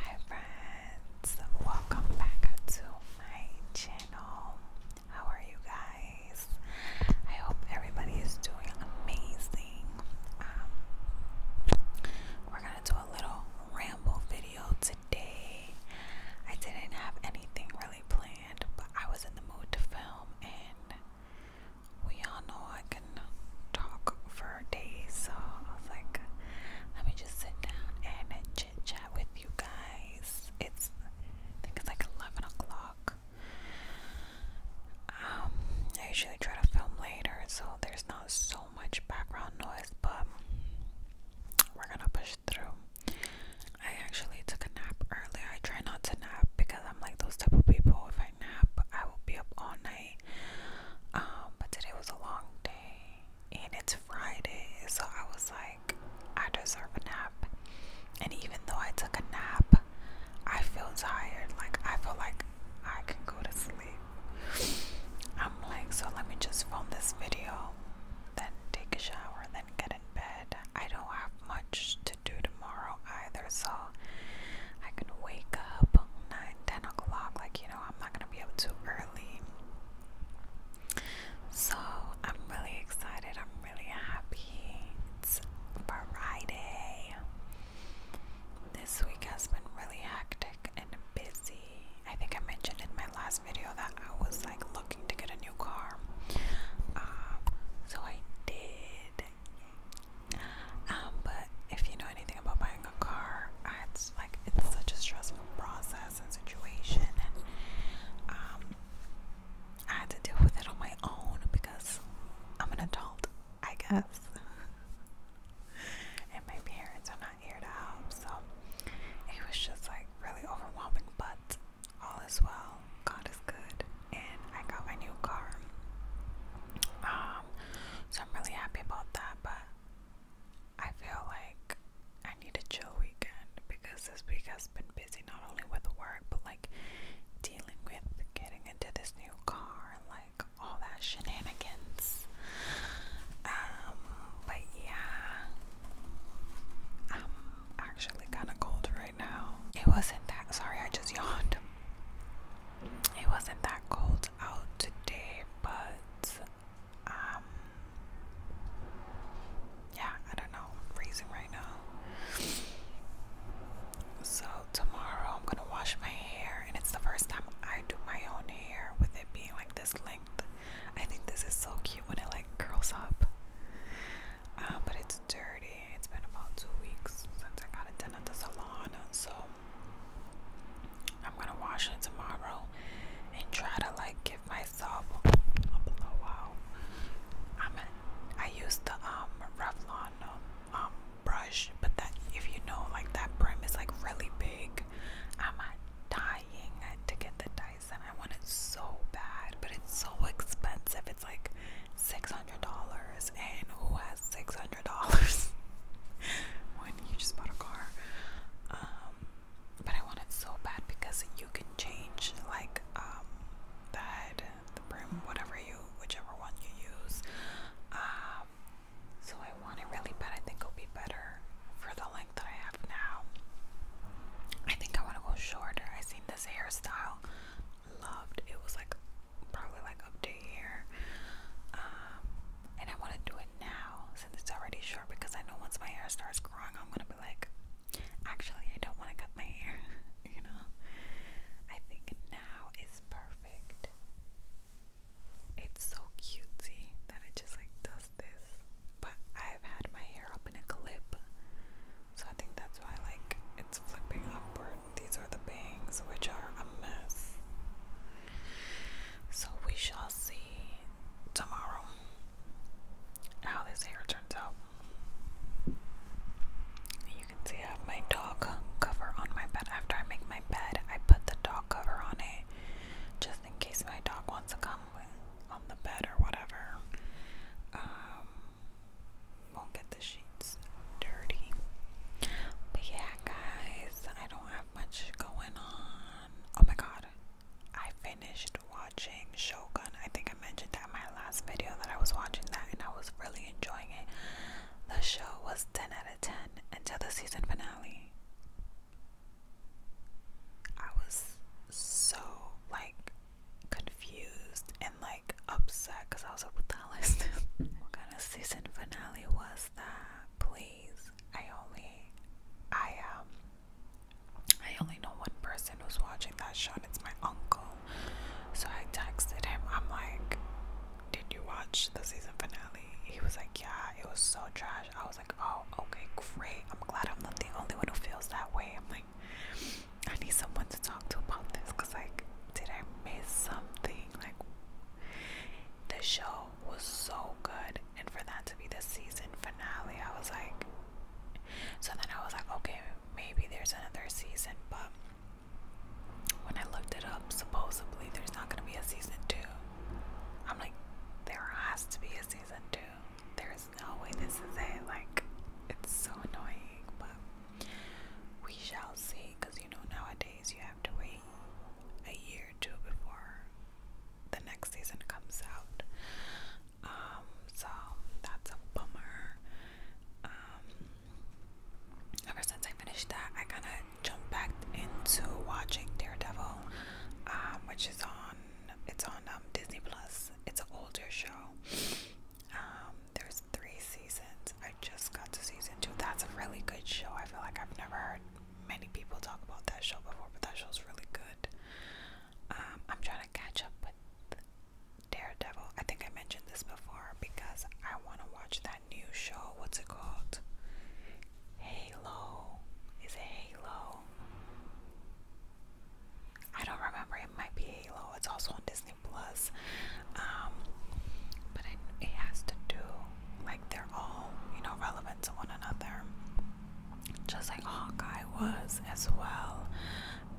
Hi friends, welcome back to my channel. How are you guys? I hope everybody is doing amazing. Um, we're gonna do a little ramble video today. I didn't have anything really planned, but I was in the mood to film, and we all know I talk for days. So I was like, let me just sit down and chit chat with you guys. It's I think it's like eleven o'clock. Um, I usually try to film later, so there's not so much background noise, but we're gonna push through. I actually took a nap earlier. I try not to nap because I'm like those type of people. If I nap, I will be up all night um, but today was a long day and it's Friday, so I was like, I deserve a nap. And even though I took a nap, I feel tired. Like, I feel like I can go to sleep. I'm like, so let me just film this video, then take a shower, then get in bed. I don't have much to do tomorrow either, so I can wake up 9, o'clock. Like, you know, I'm not gonna be up too early. So, I'm really excited. I'm really happy. It's Friday. This week has been really hectic and busy. I think I mentioned in my last video that I was like looking to get a new car. Um, so I did. Um, but if you know anything about buying a car, it's like it's such a stressful process and situation, and um, I had to deal with it on my own because I'm an adult, I guess, and my parents are not here to help, so it was just like really overwhelming. But all is well. God is good and I got my new car. Um, so I'm really happy about that, but I feel like I need a chill weekend because this week has been busy not only with work but like dealing with getting into this new car and like all that shenanigans. Um, but yeah, I'm actually kind of cold right now. It wasn't that sorry, I just yawned it wasn't that cold out today, but um, yeah, I don't know. I'm freezing right now. So tomorrow I'm gonna wash my hair, and it's the first time I do my own hair with it being like this length. I think this is so cute when it like curls up. Um, but it's dirty. It's been about two weeks since I got it done at the salon, so I'm gonna wash it tomorrow and try to like give myself a blowout. Wow. I'm a, I use the um Revlon um brush, but that if you know like that brim is like really big. I'm dying to get the Dyson. I want it so bad, but it's so expensive. It's like six hundred dollars, and who has six hundred dollars when you just bought a car? Um, but I want so bad because you can change like um the brim, whatever you, whichever one you use. Um, so I want it really bad. I think it'll be better for the length that I have now. I think I want to go shorter. I seen this hairstyle loved. It was like probably like up to here. Um, and I want to do it now since it's already short because I know once my hair starts growing, I'm gonna be like, actually, I don't want to cut my hair. you know, I think now is perfect. It's so cutesy that it just like does this. But I've had my hair up in a clip so I think that's why like it's flipping upward. These are the bangs which are a mess. So we shall see tomorrow how this hair turns out. You can see I have my dog cover on my bed. After I make my bed, I put the dog cover on it just in case my dog wants to come on the bed or whatever. Um, won't get the sheets dirty. But yeah, guys, I don't have much going on. Oh my god, I finished watching Shogun. I think I mentioned that in my last video that I was watching that and I was really enjoying it. The show was 10 out of 10 until the season finale. I was so like confused and like upset because I was like, what the hell is this? what kind of season finale was that? Please. I only I um I only know one person who's watching that show and it's my uncle. So I texted him, I'm like, Did you watch the season finale? He was like, Yeah, it was so trash. I was like, Oh, okay, great. I'm glad I'm not the only one who feels that way. I'm like, I need someone to talk to about this because, like, did I miss something? Like, the show was so good, and for that to be the season finale, I was like, so then I was like, okay, maybe there's another season, but when I looked it up, supposedly there's not gonna be a season two. I'm like, there has to be a season two. There's no way this is it. Like, it's so annoying, but we shall see. Because you know, nowadays you have to wait a year or two before the next season comes out. Um, so that's a bummer. Um, ever since I finished that, I kind of jumped back into watching Daredevil, um, which is on it's on um, Disney Plus it's an older show. Um, there's three seasons. I just got to season two. That's a really good show. I feel like I've never heard many people talk about that show before, but that show's really good. Um, I'm trying to catch up with Daredevil. I think I mentioned this before because I want to watch that new show. What's it called? Halo. Is it Halo? I don't remember. It might be Halo. It's also on Disney Plus. Um, but it, has to do like they're all you know relevant to one another, just like Hawkeye was as well.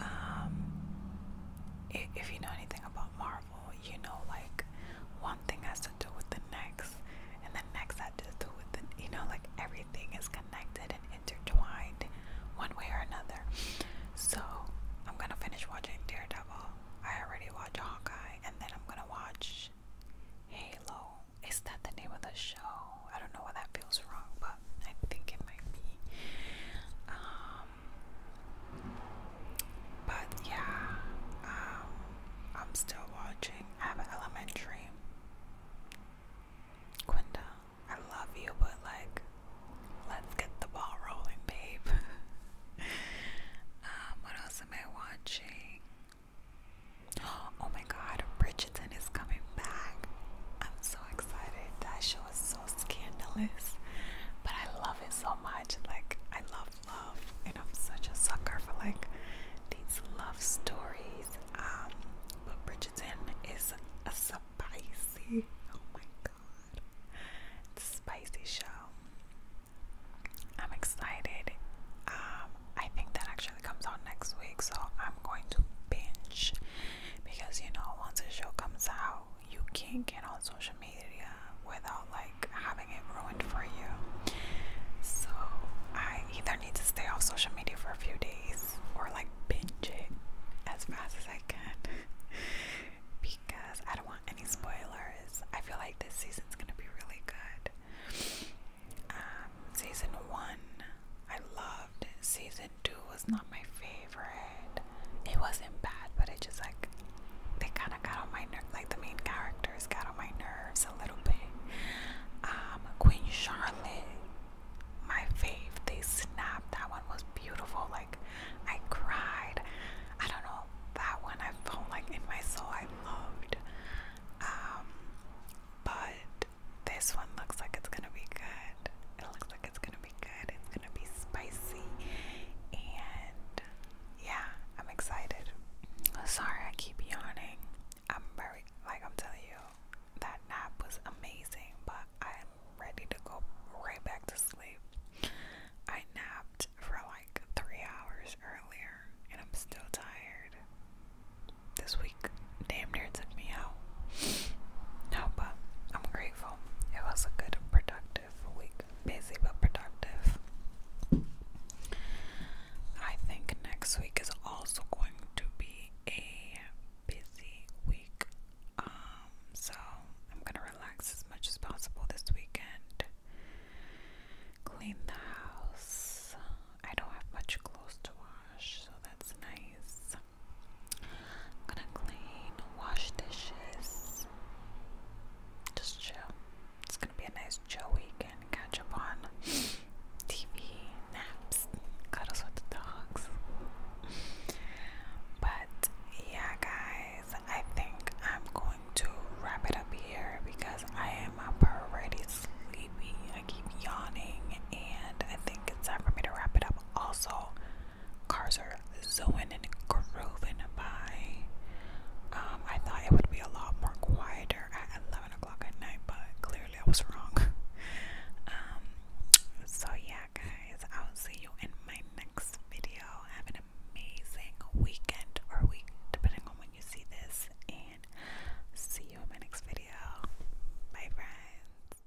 Um, if you know anything about Marvel, you know like one thing has to do with the next, and the next has to do with the you know like every everything is connected and intertwined one way or another. So I'm gonna finish watching Daredevil. I already watched Hawkeye, and then I'm gonna watch Halo. Is that the name of the show? I don't know why that feels wrong, but I think it might be. Um, but yeah, um, I'm still watching. I elementary. Quinda, I love you, but like, let's get the ball rolling, babe. Um, what else am I watching? Oh my god, Bridgerton is coming back. I'm so excited. That show is so scandalous, but I love it so much. Like, I love love, and I'm such a sucker for like these love stories um, but Bridgerton is a spicy, oh my god, spicy show. I'm excited. Um, I think that actually comes out next week, so I'm going to binge because you know, once a show comes out, you can't get on social media without like having it ruined for you. So I either either need to stay off social media for a few days or like binge it as fast as I can because I don't want any spoilers. I feel like this season's gonna be really good. Um, season one, I loved. Season two was not my favorite. It wasn't bad, but it just like they kind of got on my nerve. Like the main character actors got on my nerves a little bit. Um, Queen Charlotte, my fave, they snapped. That one was beautiful. Like, I cried. I don't know. That one I felt like in my soul I loved. Um, but this one looks like it's gonna be good. It looks like it's gonna be good. It's gonna be spicy. And yeah, I'm excited. Sorry, I keep yawning. I'm very like I'm telling you, that nap was amazing, but I'm ready to go right back to sleep. I napped for like three hours earlier and I'm still tired. This week damn near took me out. No, but I'm grateful. It was a good productive week. Busy but productive. I think next week is also going to be a busy week. Um, so I'm gonna relax as much as possible this weekend. Clean the house. I don't have much clothes to wash, so that's nice. I'm gonna clean, wash dishes, just chill. It's gonna be a nice chill weekend. Catch up on TV, naps, cuddles with the dogs. But yeah, guys, I think I'm going to wrap it up here because I am already sleepy. I keep yawning, and I think it's time for me to wrap it up. Also, cars are zooming and grooving by. Um, I thought it would be a lot more quieter at 11 o'clock at night, but clearly I was wrong. Um, so, yeah, guys, I'll see you in my next video. Have an amazing weekend or week, depending on when you see this, and see you in my next video. Bye, friends.